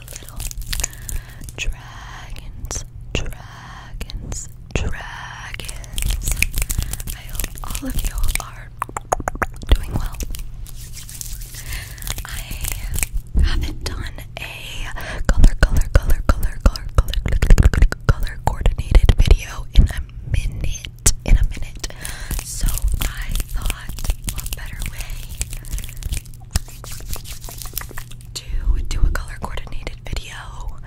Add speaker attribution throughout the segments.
Speaker 1: little, dragons, dragons, dragons. I hope all of you are doing well. I haven't done a color, color, color, color, color, color, color coordinated video in a minute. In a minute. So I thought what better way to do a color coordinated video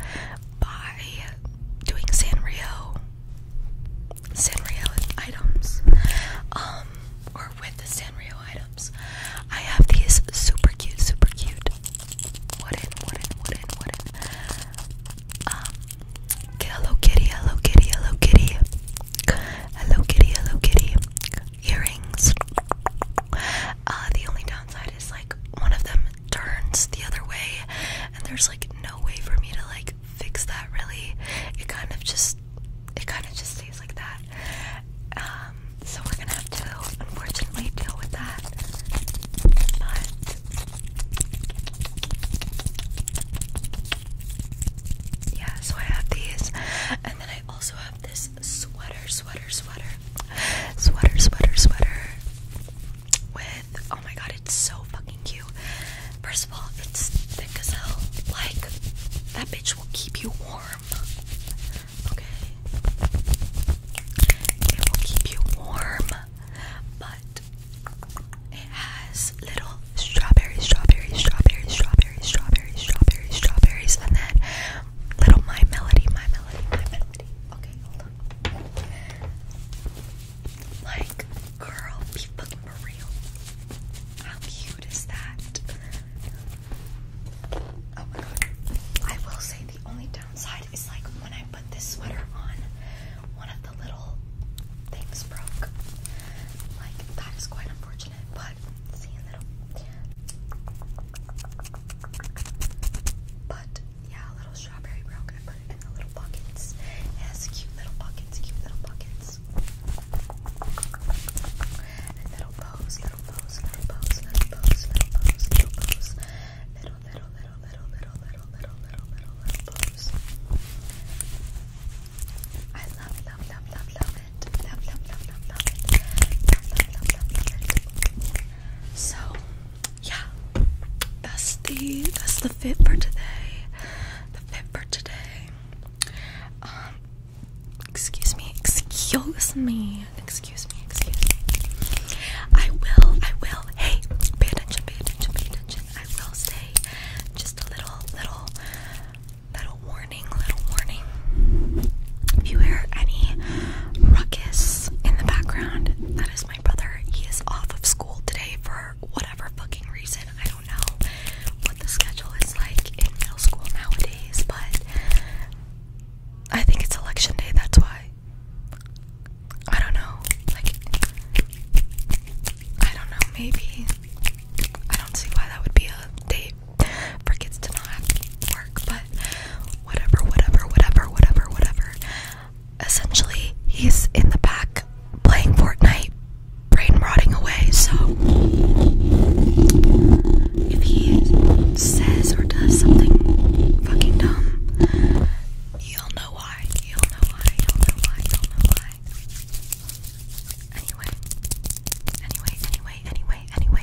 Speaker 1: by doing Sanrio Sanrio items um or with the Sanrio items I have these super cute super cute wooden wooden wooden wooden um Hello Kitty Hello Kitty Hello Kitty Hello Kitty Hello Kitty earrings. Uh, the only downside is like one of them turns the other way, and there's like no way for me to like fix that really. It kind of just it kind of just stays like that. Um, so we're gonna have to unfortunately deal with that. But yeah, so I have these, and then I also have this this sweater, sweater, sweater, sweater, sweater, sweater with, oh my god, it's so fucking cute. First of all, it's thick as hell. Like, that bitch will keep you warm. Okay? It will keep you warm, but it has little strawberries, strawberries, strawberries, strawberries, strawberries, strawberries, strawberries, and then Little My Melody, My Melody, My Melody. Okay, hold on. Like, girl, be fucking real. How cute is that? Oh my god. I will say the only downside is like when I put this sweater on, one of the little things broke. Like, that is quite unfortunate, but but yeah, little strawberry brown. I put it in the little buckets. It cute little buckets, cute little buckets. little bows, little bows, little bows, little bows, little bows, little bows, little, little, little, little, little, little, little, little, little bows. I love, love, love, love, love, so, yeah, that's the that's the fit for today. The fit for today. Um, excuse me, excuse me, excuse me, excuse me. I will, I will. Hey, pay attention, pay attention, I will say just a little, little Little warning, little warning. If you hear any ruckus in the background, that is my brother. He is off of school today for whatever fucking reason. I don't know what the schedule is like in middle school nowadays, but I think it's election day, that's why. I don't know. Like, I don't know, maybe. I don't see why that would be a date for to not work, but whatever, whatever, whatever, whatever, whatever. Essentially, he's in the back playing Fortnite, brain rotting away. So, if he says or does something fucking dumb, you'll know why. You'll know why. You'll know why. You'll know why. Anyway, anyway, anyway, anyway, anyway,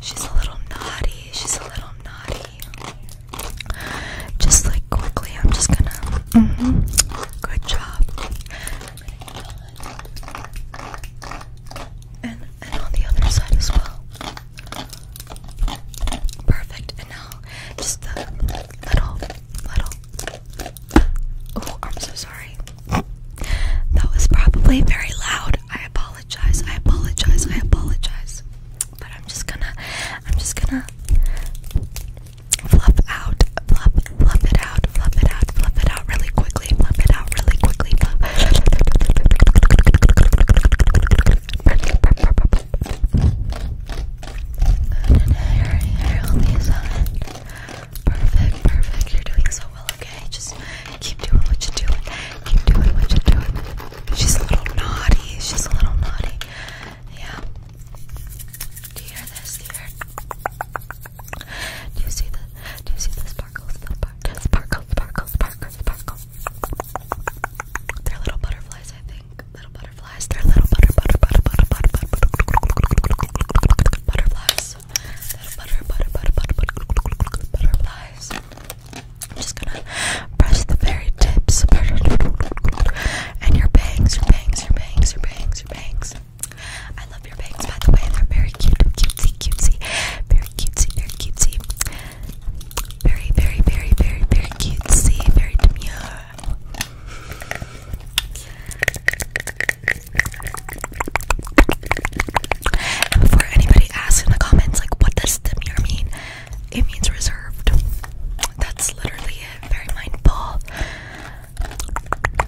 Speaker 1: She's a little naughty. She's a little naughty. Just like quickly, I'm just gonna. -hmm. Good job. And and on the other side as well. Perfect. And now just the little little. Oh, I'm so sorry. That was probably very loud. I apologize. I apologize. I apologize. But I'm just gonna, I'm just gonna fluff out, fluff, fluff it out, fluff it out, fluff it out really quickly, fluff it out really quickly. Fluff. Perfect, perfect. You're doing so well okay? Just keep doing what you're doing. Keep doing what you're doing. She's a little naughty. She's a little naughty. Yeah. Do you hear this? Do you hear? Do you see the? Do you see the sparkles? The sparkle, sparkle, sparkle, sparkle, sparkle. They're little butterflies, I think. Little butterflies. They're little butter, butter, butter, butter, butter, butter, butter, butterflies flies. That butter, butter, butter, butter, butter, butterflies. I'm just gonna brush the very tips. And your bangs, your bangs, your bangs, your bangs, your bangs. I love your bangs, by the way. They're very cute, cutesy, cutesy. Very cutesy, very cutesy. Very, very, very, very, very cutesy. Very demure before anybody asks in the comments, like, what does the mean? It means reserved. That's literally it. Very mindful.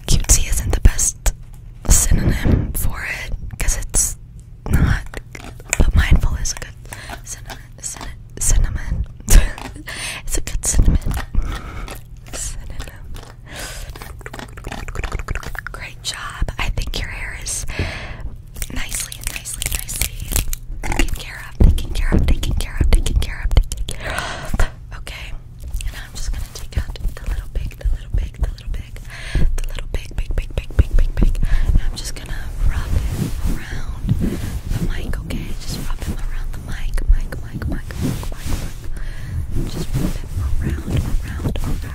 Speaker 1: Cutesy isn't the best synonym for it because it's not, but mindful is a good synonym. it's a good cinnamon. Cinnamon. Great job. I think your hair is nicely, nicely, nicely taken care of, taken care of, taken care of, taken care of, taken care of. Okay. And I'm just gonna take out the little big, the little big, the little big, the little big, big, big, big, big, big, big. And I'm just gonna rub it around the mic, okay? Just rub it around the mic, mic, mic, mic, mic, mic. Just rub it around, around, around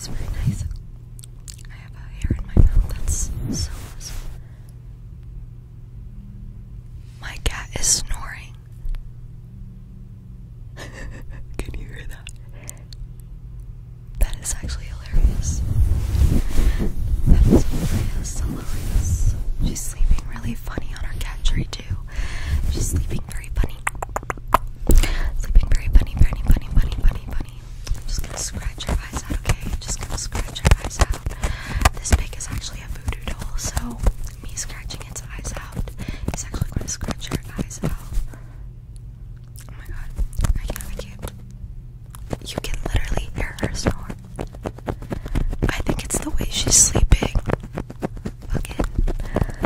Speaker 1: my That's so cat is snoring. Can you hear that? That is actually hilarious. That is hilarious, hilarious. She's sleeping really funny on her cat tree too. She's sleeping very funny. Sleeping very funny, funny, funny, funny, funny, funny. i just gonna scratch your eyes out, okay? just gonna scratch your eyes out. This pig is actually a voodoo doll, so me scratching its eyes out is actually gonna scratch your eyes out. Oh my god, I can't, I can't. You can literally hear her snore. I think it's the way she's sleeping. Fucking.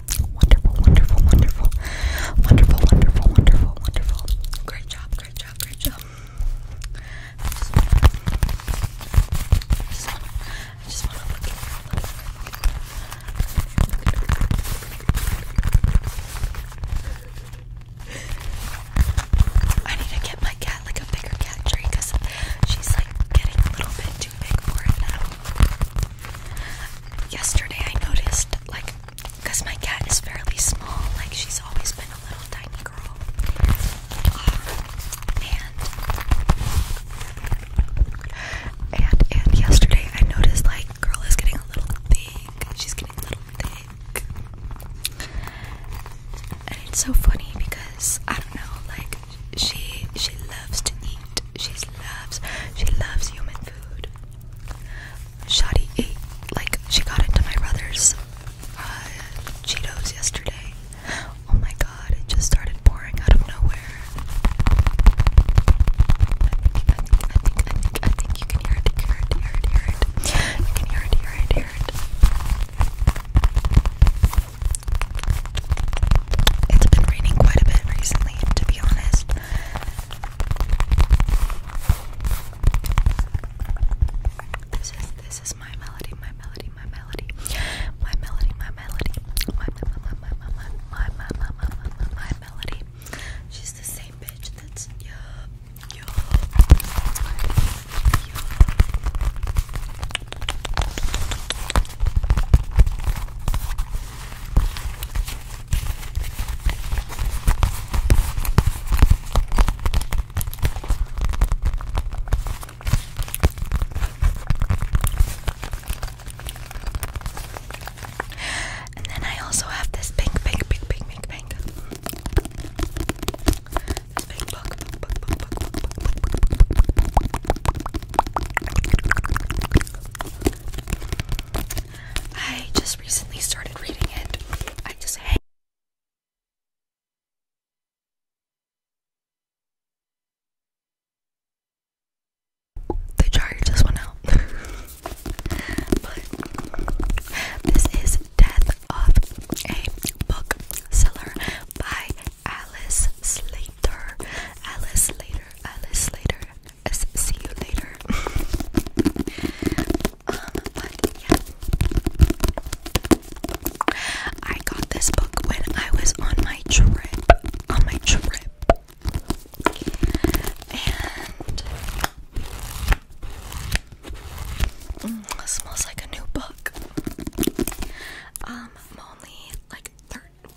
Speaker 1: Wonderful, wonderful, wonderful. Wonderful, wonderful, wonderful, wonderful. Great job, great job, great job. I just wanna, I just wanna, I just wanna look at you a little bit. I need to get my cat like a bigger cat tree because she's like getting a little bit too big for it now. Yesterday I noticed like because my cat is fairly small, like she's always been a little tiny girl. and, and, and yesterday I noticed like girl is getting a little thick. She's getting a little thick. And it's so funny because I don't know, like she she loves to eat. She loves she loves human food. Shadi ate, like, she got into my brother's uh, Cheetos yesterday. Oh my god, it just started pouring out of nowhere. I think, I think, I think, I think you can hear it, hear it, hear it, hear it. You can hear it, hear it, hear it. It's been raining quite a bit recently, to be honest. This is this is my melody, my melody, my melody, my melody, my melody, my my my melody. She's the same bitch. That's you, yeah, yeah. And then I also have this pink, pink, pink, pink, pink, pink. This pink book, book, book, book, book, book, book, book, book, book. I just recently started reading it. I just hate the charger just went out. but this is Death of a Book Seller by Alice Slater. Alice Slater. Alice Slater see you later. Um, but yeah. I got this book when I was on my trip. On my trip. And mm, smells like a new book. Um, only like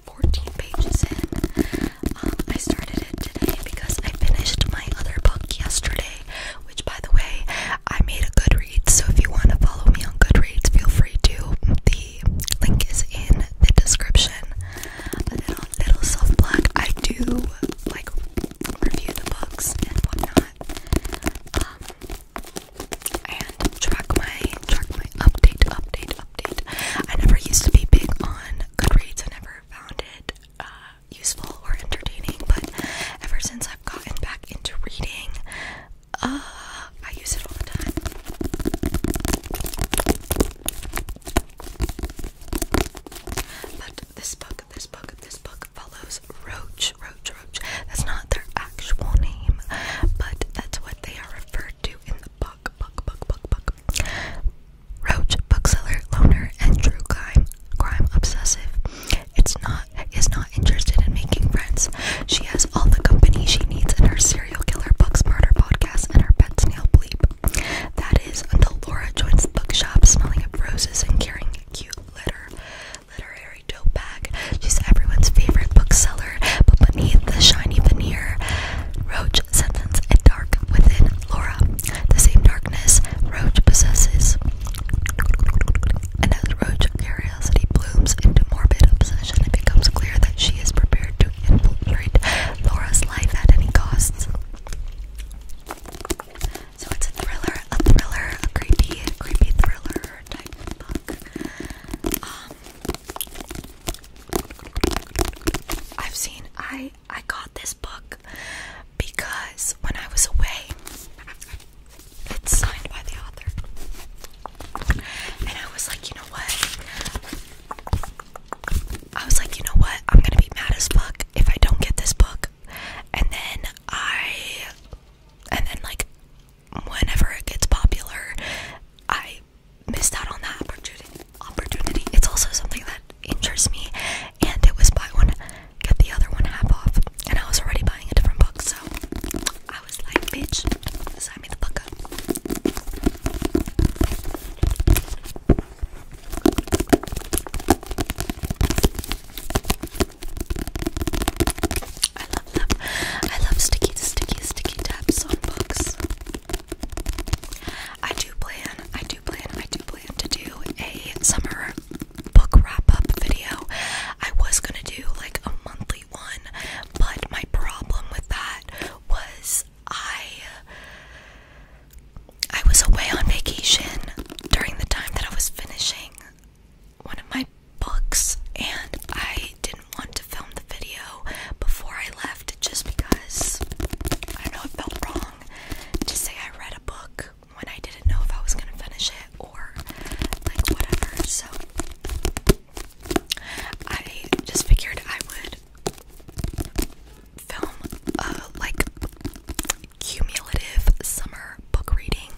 Speaker 1: 13, pages in. Um, I started it today because I finished my other book yesterday, which, by the way, I made a Goodreads. So if you want to follow me on Goodreads, feel free to. The link is in the description. little, little self plug. I do like review the books and whatnot, um, and track my track my update, update, update. I never used to be big on Goodreads. I never never found it uh, useful or entertaining, but ever since I've gotten back into reading, uh, I use it all the time. But this book, this book, this book follows Roach, Roach, Roach. That's not their actual name, but that's what they are referred to in the book. Buck, Roach, bookseller, loner, and true crime, crime obsessive. It's not is not interested in making friends. She has all the company she needs in her serial killer books murder podcast and her pet's nail bleep. That is until Laura joins the bookshop, smelling of roses and carrying a cute litter literary tote bag. She's everyone's favorite bookseller, but beneath the shiny veneer, Roach senses a dark within Laura, the same darkness Roach possesses, and as Roach curiosity blooms into morbid obsession, it becomes clear that she is prepared to infiltrate Laura's life at any cost. So it's a thriller, a thriller, a creepy, creepy thriller type book. Um, I've seen I I got this book because when I was away, it's signed by the author, and I was like, you know what? I was like, you know what? I'm gonna be mad as fuck if I don't get this book, and then I, and then like, whenever it gets popular, I missed out on that opportunity. Opportunity. It's also something that interests me, and it was buy one, get the other one half off. And I was already buying a different book, so I was like, "Bitch, sign me the fuck up." I love them. I love sticky, sticky, sticky tabs on books. I do plan, I do plan, I do plan to do a summer book wrap-up video. I was gonna do like a monthly one, but my problem with that was I I was away on vacation during the time that I was finishing one of my books and I didn't want to film the video before I left just because I know it felt wrong long say I read a book when I didn't know if I was gonna finish it or like whatever. So I just figured I would film a like cumulative summer book reading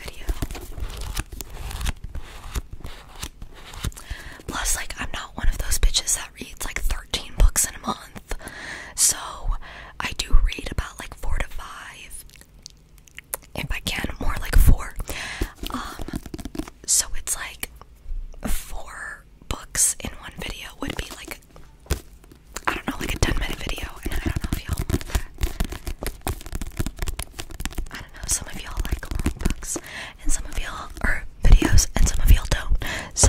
Speaker 1: video. Plus, like, I'm not one of those bitches that reads like 13 books in a month. So I do read about like four to five, if I can, more like four. Um, so it's like four books in one video would be like, I don't know, like a 10 minute video. And I don't know if y'all like that. I don't know, some of y'all like long books, and some of y'all, are videos, and some of y'all don't. So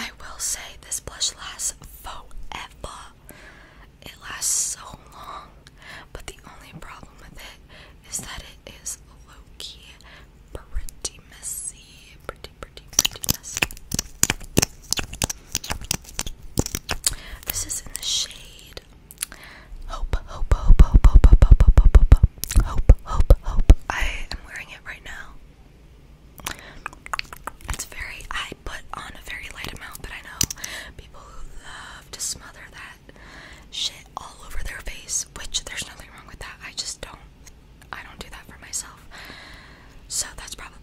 Speaker 1: I will say this blush lasts forever. It lasts so long, but the only problem with it is that it is low key pretty messy. Pretty, pretty, pretty messy. This is in the shade Hope, Hope, Hope, Hope, Hope, Hope, Hope, Hope, Hope, Hope, Hope, Hope, Hope. I am wearing it right now. It's very, I put on a very light amount, but I know people who love to smother that shit all over their face, which there's nothing wrong with that. I just don't, I don't do that for myself. So that's probably I love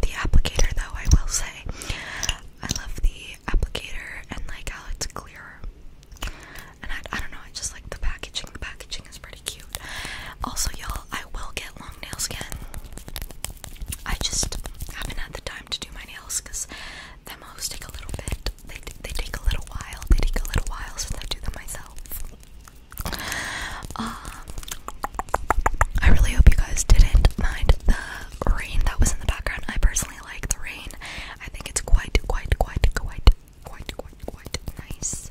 Speaker 1: the applicator though, I will say. I love the applicator and like how it's clear. And I don't know, I just like the packaging. The packaging is pretty cute. Also, y'all, I will get long nails again. I just haven't had the time to do my nails because them always take a little bit. They they take a little while. They take a little while since I do them myself. Um, I really hope you guys didn't mind the rain that was in the background. I personally like the rain. I think it's quite, quite, quite, quite, quite, quite, quite nice.